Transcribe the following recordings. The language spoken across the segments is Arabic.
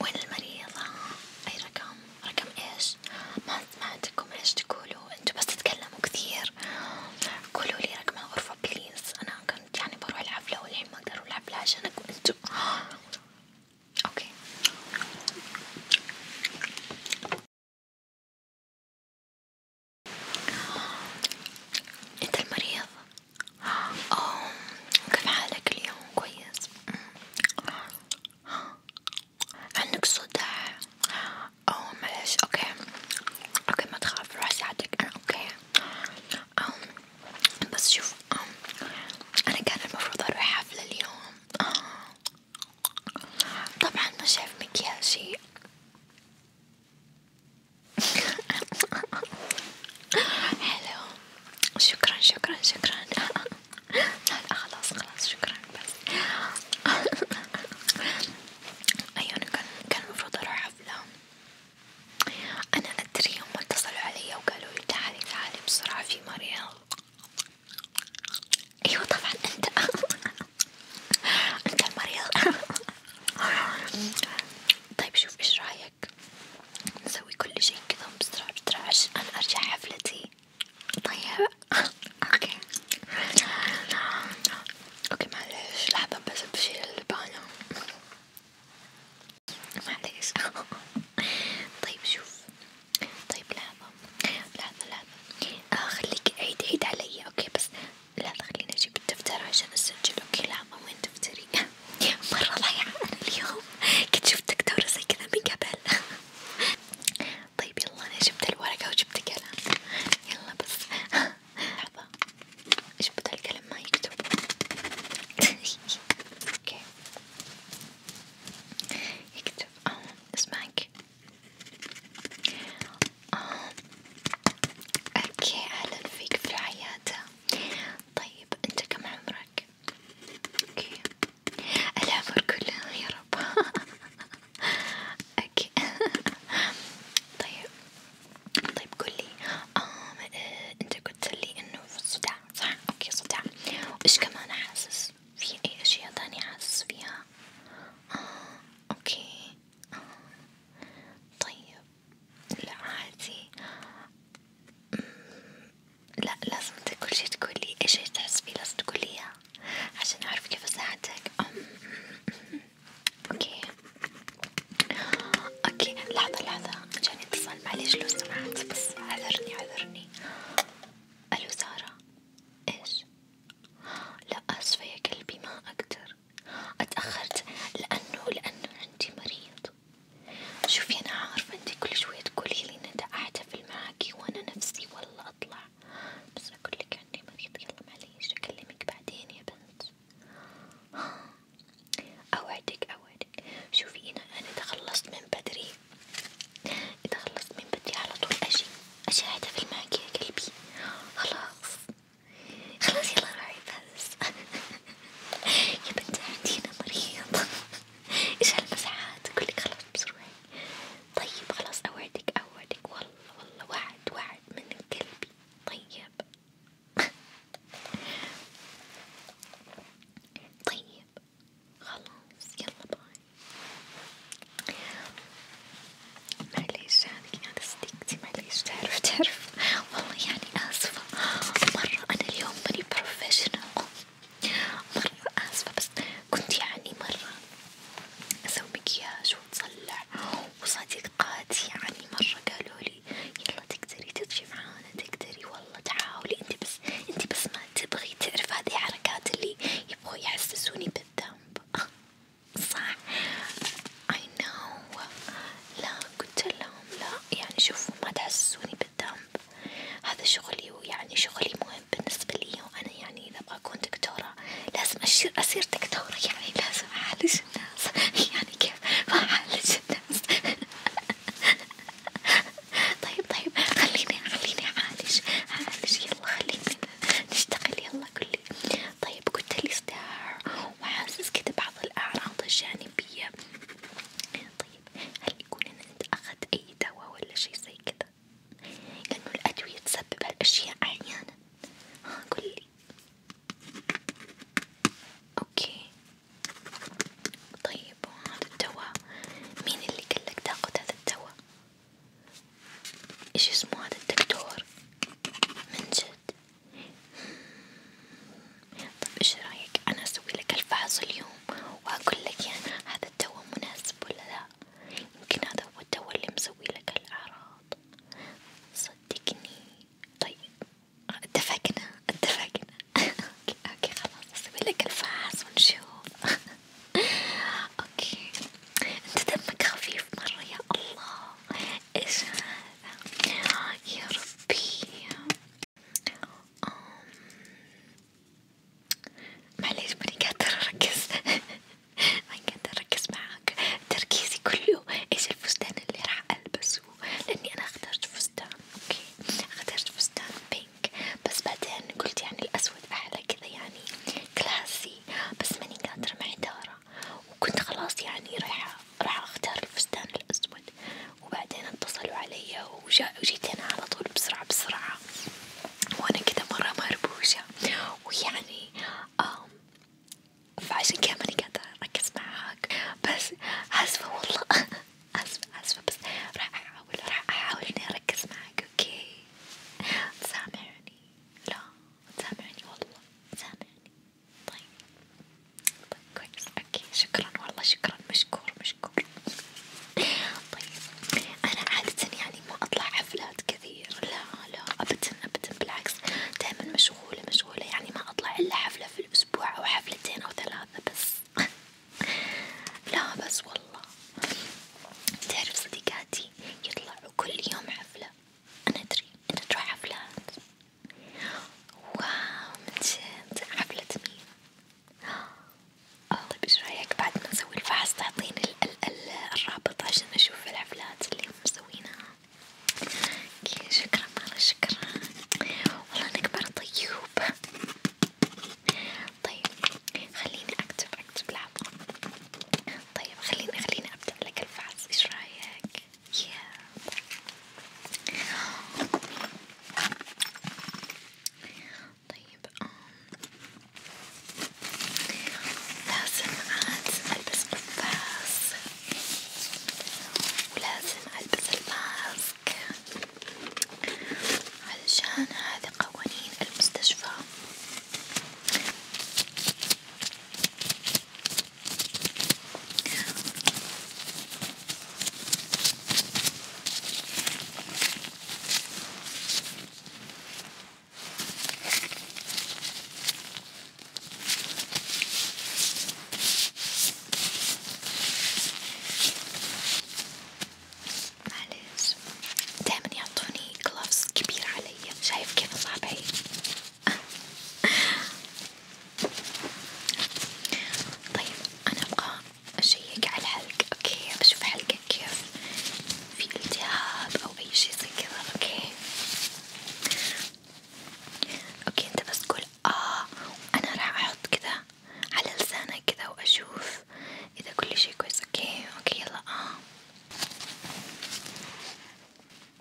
وين المريضة؟ أي رقم؟ رقم إيش؟ ما سمعتكم إيش تقولوا؟ أنتوا بس تتكلموا كثير، قولولي رقم الغرفة بليز، أنا كنت يعني بروح الحفلة والحين ما أقدر أروح الحفلة عشانكم أنتوا، أوكي. أنت المريض؟ أوه. كيف حالك اليوم كويس؟ عندك صداع؟ أو معلش أوكي أوكي ما تخاف راح أساعدك أنا أوكي أو بس شوف أنا كان المفروض أروح حفلة اليوم طبعا ما شاف مكياجي حلو شكرا شكرا شكرا لا خلاص خلاص شكرا بس ايوه انا كان المفروض اروح حفلة انا ادري هم اتصلوا علي وقالوا تعالي تعالي بسرعة في مريض ايوه طبعا انت انت المريض طيب شوف ايش رايك هيك نسوي كل شي كذا بسرعة بسرعة عشان أنا أرجع حفلتي طيب اوكي اوكي معليش لحظة بس بشيل اللبانة معليش طيب شوف طيب لحظة لحظة لحظة آه خليك عيد عيد علي اوكي بس لحظة خليني اجيب الدفتر عشان اسجل اوكي لحظة وين دفتري مرة ضايعة أنا اليوم كنت شفت دكتورة زي كذا من قبل طيب يلا أنا جبت الورقة وجبت قلم يلا بس لحظة إيش بدأ القلم ما يكتب اوكي يكتب اه اسمعك اه اوكي أهلا فيك في العيادة طيب انت كم عمرك؟ اوكي العمر كله يا رب اوكي طيب طيب قولي آه انت قلت لي انه في الصداع صح؟ اوكي صداع وايش كمان حاسس؟ في اي اشياء تانية حاسس فيها؟ آه اوكي آه. طيب لا عادي لا لازم كل شي تقولي ايش تحس فيه لازم تقولي عشان اعرف كيف اساعدك اوكي اوكي لحظة لحظة جاني اتصال معليش لو سمحت بس عذرني عذرني الو سارة ايش لا اسفة يا قلبي ما اقدر اتأخرت لانه لانه عندي مريض شوفي أنا عارفة أنتي كل شوية تقوليلي إن أنا أحتفل معاكي وأنا نفسي والله أطلع، بس أقولك عندي مريض يلا معليش أكلمك بعدين يا بنت، أوعدك أوعدك، شوفي أنا أنا تخلصت من بدري، إذا خلصت من بدري على طول أجي أجي أحتفل معاكي يا قلبي، خلاص خلاص يلا روحي بس. يا بنت عندينا مريض ايش هالمزحات كلك خلاص بسرعة طيب خلاص اوعدك اوعدك والله والله وعد وعد من قلبي طيب طيب خلاص يلا باي معليش هذي انا صديقتي معليش تعرف تعرف والله يعني آسفة مرة أنا اليوم ماني بروفيشنال مرة آسفة بس كنت يعني مرة أسوي مكياج وأطلع وصديقاتي يعني مرة قالولي يلا تقدري تجي معانا تقدري والله تحاولي انتي بس انتي بس ما تبغي تعرف هذه حركات اللي يبغوا يحسسوني بالذنب صح I know لا قلت لهم لا يعني شوفوا ما تحسسوني بالذنب هذا شغلي ويعني شغلي مهم بالنسبة لي وأنا يعني إذا أبغى أكون دكتورة لازم أصير أصير دكتورة يعني لازم أعالج الناس يعني كيف ما أعالج الناس طيب طيب خليني خليني أعالج أعالج يلا خليني نشتغل يلا قولي طيب قلت لي ستار هو حاسس كده بعض الأعراض الجانبية طيب هل يكون إن أنت أخذت أي دواء ولا شي زي كده؟ لأنه الأدوية تسبب هالأشياء أحيانا ها قولي أوكي طيب وهذا الدواء مين اللي قالك تاخد هذا الدواء؟ ايش اسمه هذا الدكتور؟ منجد جد طب ايش رايك انا اسوي لك الفحص اليوم واقول لك يعني هذا الدواء مناسب ولا لا يمكن هذا هو الدواء اللي مسوي لك الاعراض صدقني طيب اتفقنا اتفقنا اوكي اوكي خلاص اسوي لك الفحص ونشوف اوكي انت دمك خفيف مرة يا الله ايش هذا آه، يا ربي معليش ماني قادر أركز ماني قادر أركز معاك تركيزي كله ايش الفستان اللي راح ألبسه لأني أنا اخترت فستان اوكي اخترت فستان بينك بس بعدين قلت يعني الأسود أحلى كذا يعني كلاسي بس ماني قادرة مع إدارة وكنت خلاص يعني رايحة راح اختار الفستان الأسود وبعدين اتصلوا علي وجيت أنا على طول بسرعة بسرعة وأنا كذا مرة مربوشة ويعني فعشان كذا ماني قادرة أركز معاك بس آسفة والله آسفة آسفة بس راح أحاول راح أحاول إني أركز معاك أوكي تسامعني لا تسامعني والله تسامعني طيب طيب كويس اوكي شكرا والله شكرا مشكور مشكور طيب انا عادة يعني ما اطلع حفلات كثير لا لا ابدا ابدا بالعكس دائما مشغولة مشغولة يعني ما اطلع الا حفلة في الاسبوع او حفلتين او ثلاثة بس لا بس والله تعرف صديقاتي يطلعوا كل يوم حفلة أنا أدري أنت تروح حفلات واو من جد حفلة مين؟ آه، طيب ايش رايك بعد ما نسوي الفحص تعطيني الرابط عشان اشوف الحفلات اللي مسوينها اوكي شكرا مرة شكرا والله انك مرة طيوب طيب خليني اكتب اكتب لحظة طيب خليني خليني ابدأ لك الفحص ايش رايك؟ yeah. طيب لازم عاد ألبس قفاز ولازم ألبس الماسك علشان هذي قوانين المستشفى معلش دايما يعطوني كلافز كبيرة علي شايف كيف صعبة هي طيب أنا أبغى أشيك على الحلق أوكي بشوف حلقك كيف في التهاب أو أي شيء زي كذا أوكي أوكي أنت بس قول آه أنا راح أحط كذا على لسانك كذا وأشوف إذا كل شيء كويس أوكي أوكي يلا آه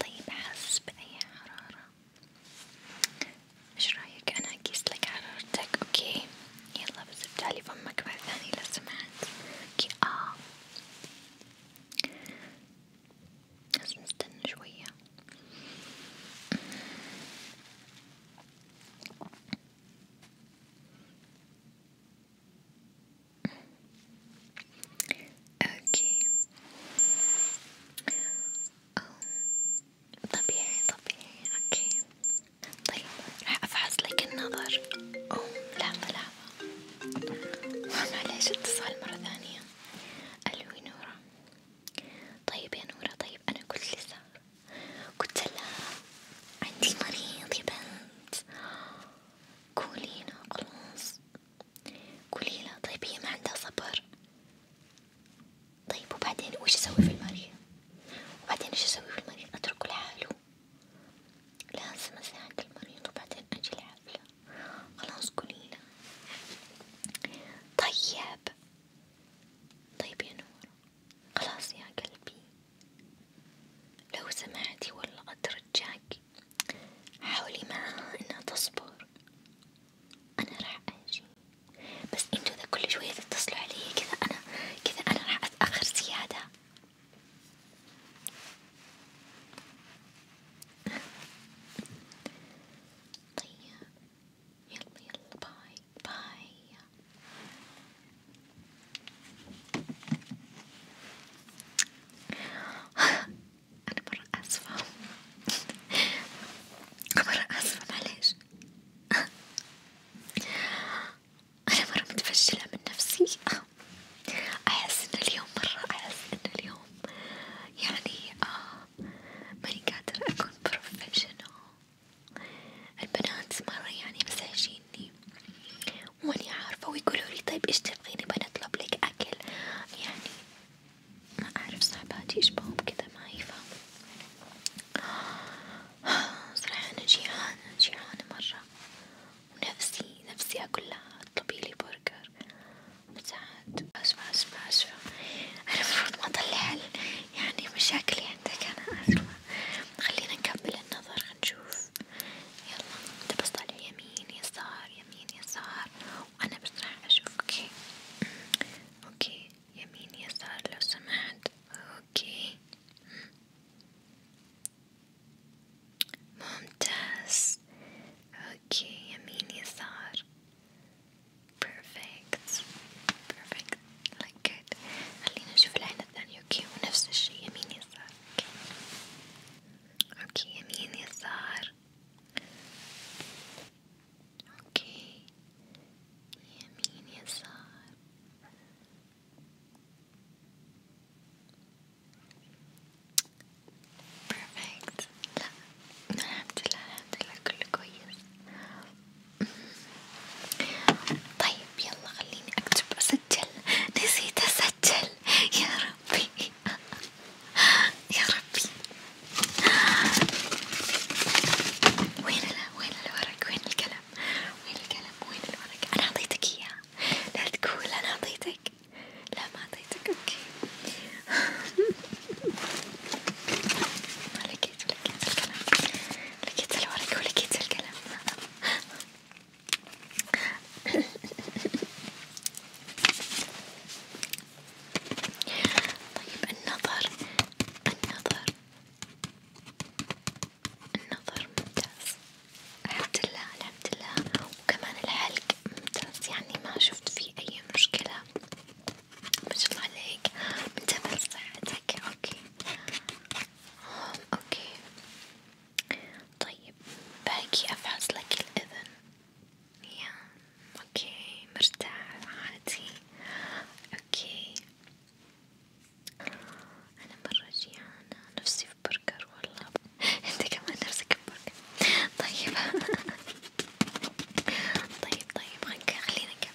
طيب حس بأي حرارة؟ ايش رايك انا اقيسلك حرارتك اوكي؟ يلا بس افتحلي فمك مرة ثانية لو سمحت اوكي اه بس نستنى شوية اوكي أو طبيعي طبيعي اوكي طيب راح افحص لك النظر او لحظة لحظة معليش اتصال مرة ثانية الو نورة طيب يا نورة طيب انا قلت لسا قلت لها عندي مريض يا بنت قولي لها خلاص قولي لها طيب هي ما عندها صبر طيب وبعدين وش اسوي في المريض وبعدين ايش اسوي في المريض اتركه لحاله لازم اساعد المريض وبعدين اجي الحفلة خلاص قولي لها طيب طيب يا نور خلاص يا قلبي لو سمعتي والله أترجاك حاولي معاها إنها تصبر، أنا راح أجي، بس انتو إذا كل شوية تتصلوا علي كذا أنا كذا أنا راح أتأخر زيادة، طيب يلا يلا باي باي. أنا مرة آسفة مرة آسفة معليش أنا مرة متفشلة من نفسي أحس إن اليوم مرة أحس إن اليوم يعني آه ماني قادرة أكون بروفيشنال البنات مرة يعني مزعجيني لي وماني عارفة ويقولوا لي طيب إيش تبغيني بنطلب لك أكل يعني ما أعرف صاحباتي إيش بهم كذا ما يفهموا صراحة أنا جيعانة جيعانة مرة ونفسي نفسي أقول لها اطلبي لي برجر مساعد أسفة أسفة أسفة أنا المفروض ما أطلع يعني مشاكلي عندك أنا أسفة خلينا نكمل النظر نشوف يلا انت بس طالع يمين يسار يمين يسار وانا بس راح اشوف اوكي اوكي يمين يسار لو سمحت اوكي ممتاز اوكي يمين يسار perfect perfect like good خلينا نشوف العين الثانية اوكي ونفس الشي يمين يسار اوكي يمين يسار اوكي يمين يسار بيرفكت لا الحمد لله الحمد لله كله كويس طيب يلا خليني اكتب اسجل نسيت اسجل يا ربي يا ربي وين وين الورق وين القلم وين القلم وين الورق انا اعطيتك اياه لا تقول انا اعطيتك لا ما اعطيتك اوكي لقيت لقيت القلم لقيت الورق ولقيت القلم طيب النظر النظر النظر ممتاز الحمد لله الحمد لله وكمان الحلق ممتاز يعني ما شفت فيه أي مشكلة ما شاء الله عليك منتبه لصحتك اوكي اوكي طيب باقي أفعز لك الأذن يا أوكي مرتاح عادي أوكي أنا مرة جيعانة نفسي في برجر والله أنت كمان نفسك في برجر طيب طيب طيب خلينا نكمل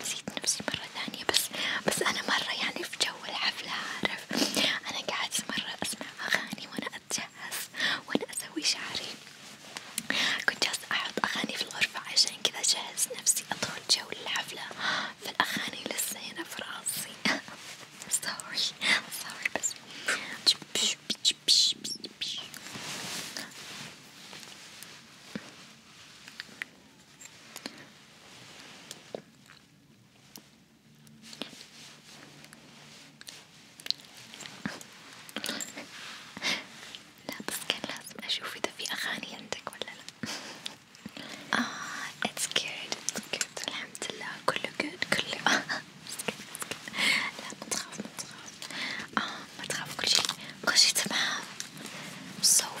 نسيت نفسي مرة ثانية بس بس أنا مرة يعني في جو الحفلة عارف أنا قاعد مرة أسمع أغاني وأنا أتجهز وأنا أسوي شعري كنت جالسة أحط أغاني في الغرفة عشان كذا أجهز نفسي أدخل جو الحفلة فالأغاني لسه هنا في راسي سوري سوري بس لا بس لازم أشوف إذا في أغاني عندك ولا لا آه it's good it's الحمد لله كله good كله لا ما تخاف ما تخاف آه، ما تخاف كل شي كل شي تمام so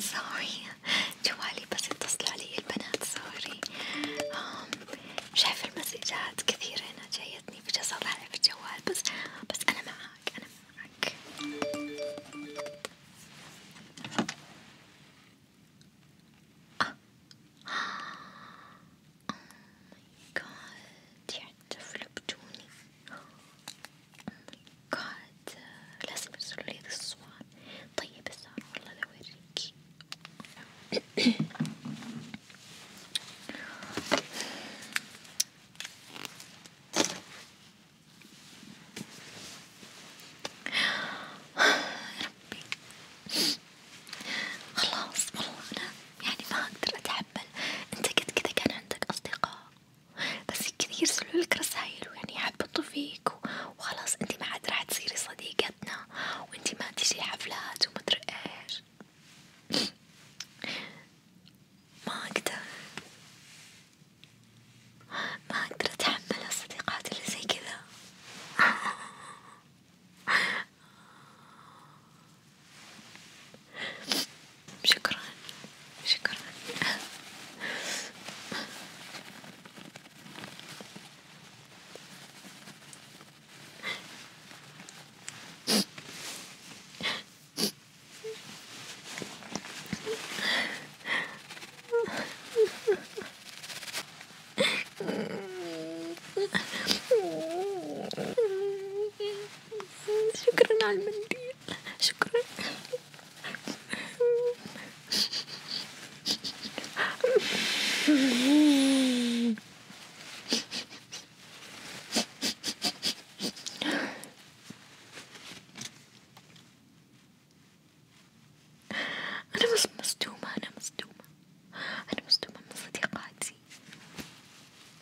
سوري جوالي بس يتصل علي البنات سوري شايف المسجات كثيرة أنا جايتني بجلس أطالع في الجوال بس بس أنا معاك أنا معاك آه. Oh my god يعني طفل بدوني قاعد لازم ترسلولي هذي الصور طيب بس أنا والله لأوريكي ربي خلاص والله أنا يعني ما أقدر أتحمل، أنت قد كذا كان عندك أصدقاء بس كذا يرسلوا لك رسايل ويعني يحبطوا فيك وخلاص انتي ما عاد راح تصيري صديقتنا وانتي ما تجي حفلات وما ادري ايش ما اقدر ما اقدر اتحمل الصديقات اللي زي كذا شكرا شكرا شكرا على المنديل شكرا أنا مش مصدومة أنا مصدومة أنا مصدومة من صديقاتي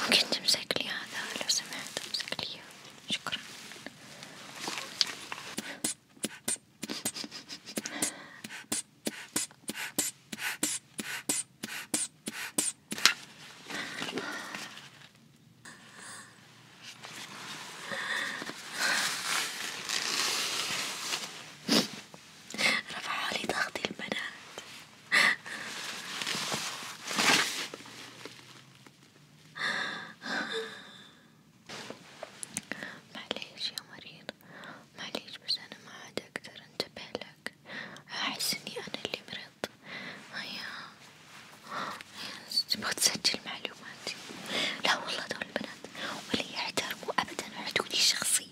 ممكن تمسك لي هذا لو سمحت امسك لي شكرا رفعوا لي ضغطي البنات معليش يا مريض معليش بس أنا ما عاد أقدر أنتبه لك أحس إني أنا اللي مرضت هيا تبغى تسجل معلوماتي لا والله دول البنات ولا يحترموا أبدا حدودي الشخصية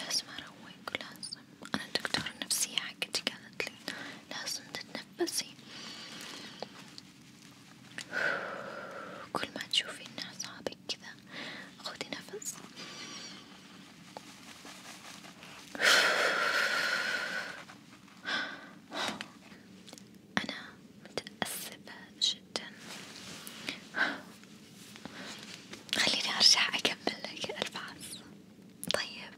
لازم أروق لازم أنا الدكتورة النفسية حقتي قالت لي لازم تتنفس بس كل ما تشوفين أعصابك كذا خذي نفس أنا متأسفة جدا خليني أرجع أكمل لك الفحص طيب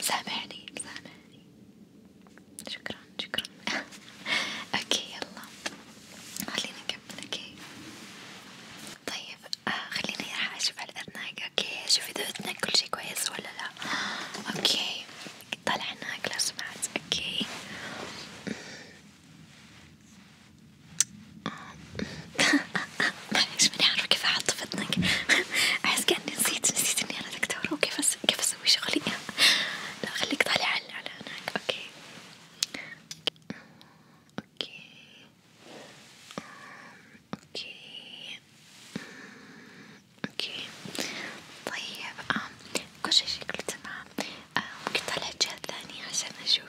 سامحني سامحني شكرا شكرا اوكي يلا خلينا نكمل اوكي طيب آه خليني راح اشوف على اذنك اوكي شوف اذا اذنك كل شي كويس ولا لا اوكي طلع هناك لو سمحت اوكي معليش ماني عارفة كيف أحط في اذنك أحس كأني نسيت نسيت إني أنا دكتورة وكيف أس... كيف أسوي شغلي لا خليك طالع على على هناك أوكي أوكي أوكي أوكي طيب آه كل شي شكله تمام آه ممكن طلع الجهة الثانية عشان أشوف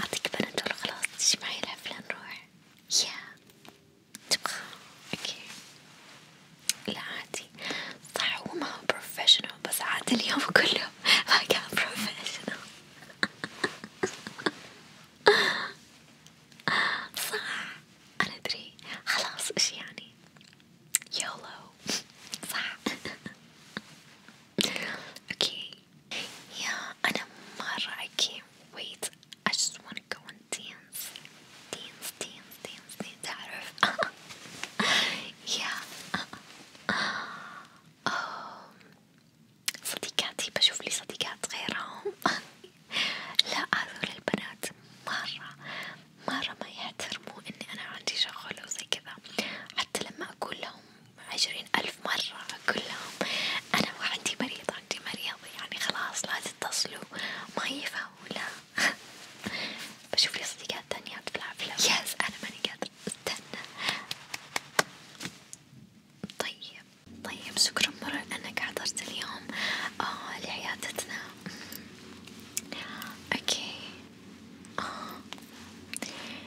أعطيك بنادول خلاص تجي معي الحفلة نروح يا تبغى اوكي لا عادي صح هو ما هو بروفيشنال بس عاد اليوم كله ما كان بروفيشنال صح أنا أدري خلاص إيش يعني يولو صح Okay. Yeah, أنا مرة okay. Wait, I just wanna go and dance, dance, dance, dance. تعرف? yeah. Oh. صديقاتي بشوف لي صديقات غيرهم. لا هذول البنات مرة مرة ما يحترموا إني أنا عندي شغل وزي كذا حتى لما أقول لهم عشرين ألف مرة أقول لهم أنا وعندي مريض عندي مريض يعني خلاص لا تتصلوا ما يفهموا لا بشوف لي صديقات تانيات في العافية يس أنا ماني قادرة استنى طيب طيب شكرا مرة لأنك حضرت اليوم آه لعيادتنا أمم. اوكي آه.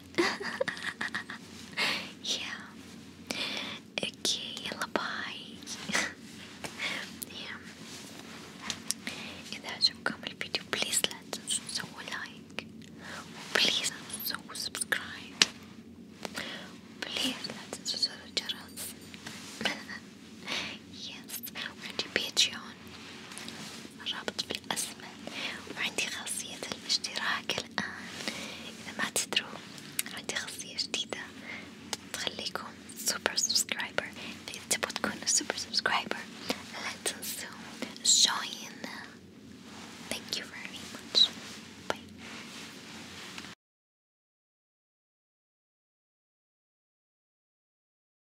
yeah. Okay, lullaby. yeah. If that's your complete video, please let us so like. Please so subscribe. Please let us so channels. yes, we're the Patreon اللون الرابط في الأسمن وعندي خاصية الاشتراك الآن إذا ما تدروا عندي خاصية جديدة تخليكم سوبر سبسكرايبر إذا تبغوا تكونوا سوبر سبسكرايبر لا تنسوا join thank you very much bye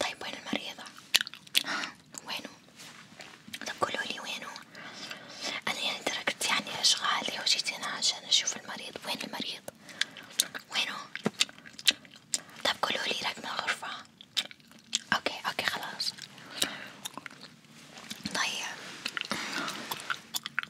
طيب وين المريضة؟ وينو؟ طب قولولي وينو؟ أنا يعني تركت يعني أشغالي وجيت هنا عشان أشوف المريض، وين المريض؟ وينو؟ طب قولولي رقم الغرفة، أوكي أوكي خلاص، طيب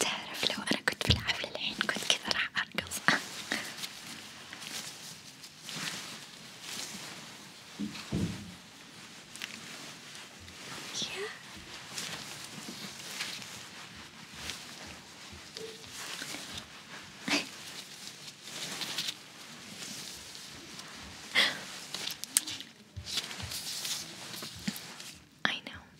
تعرف لو أنا كنت في الحفلة الحين كنت كذا راح أرقص يا I know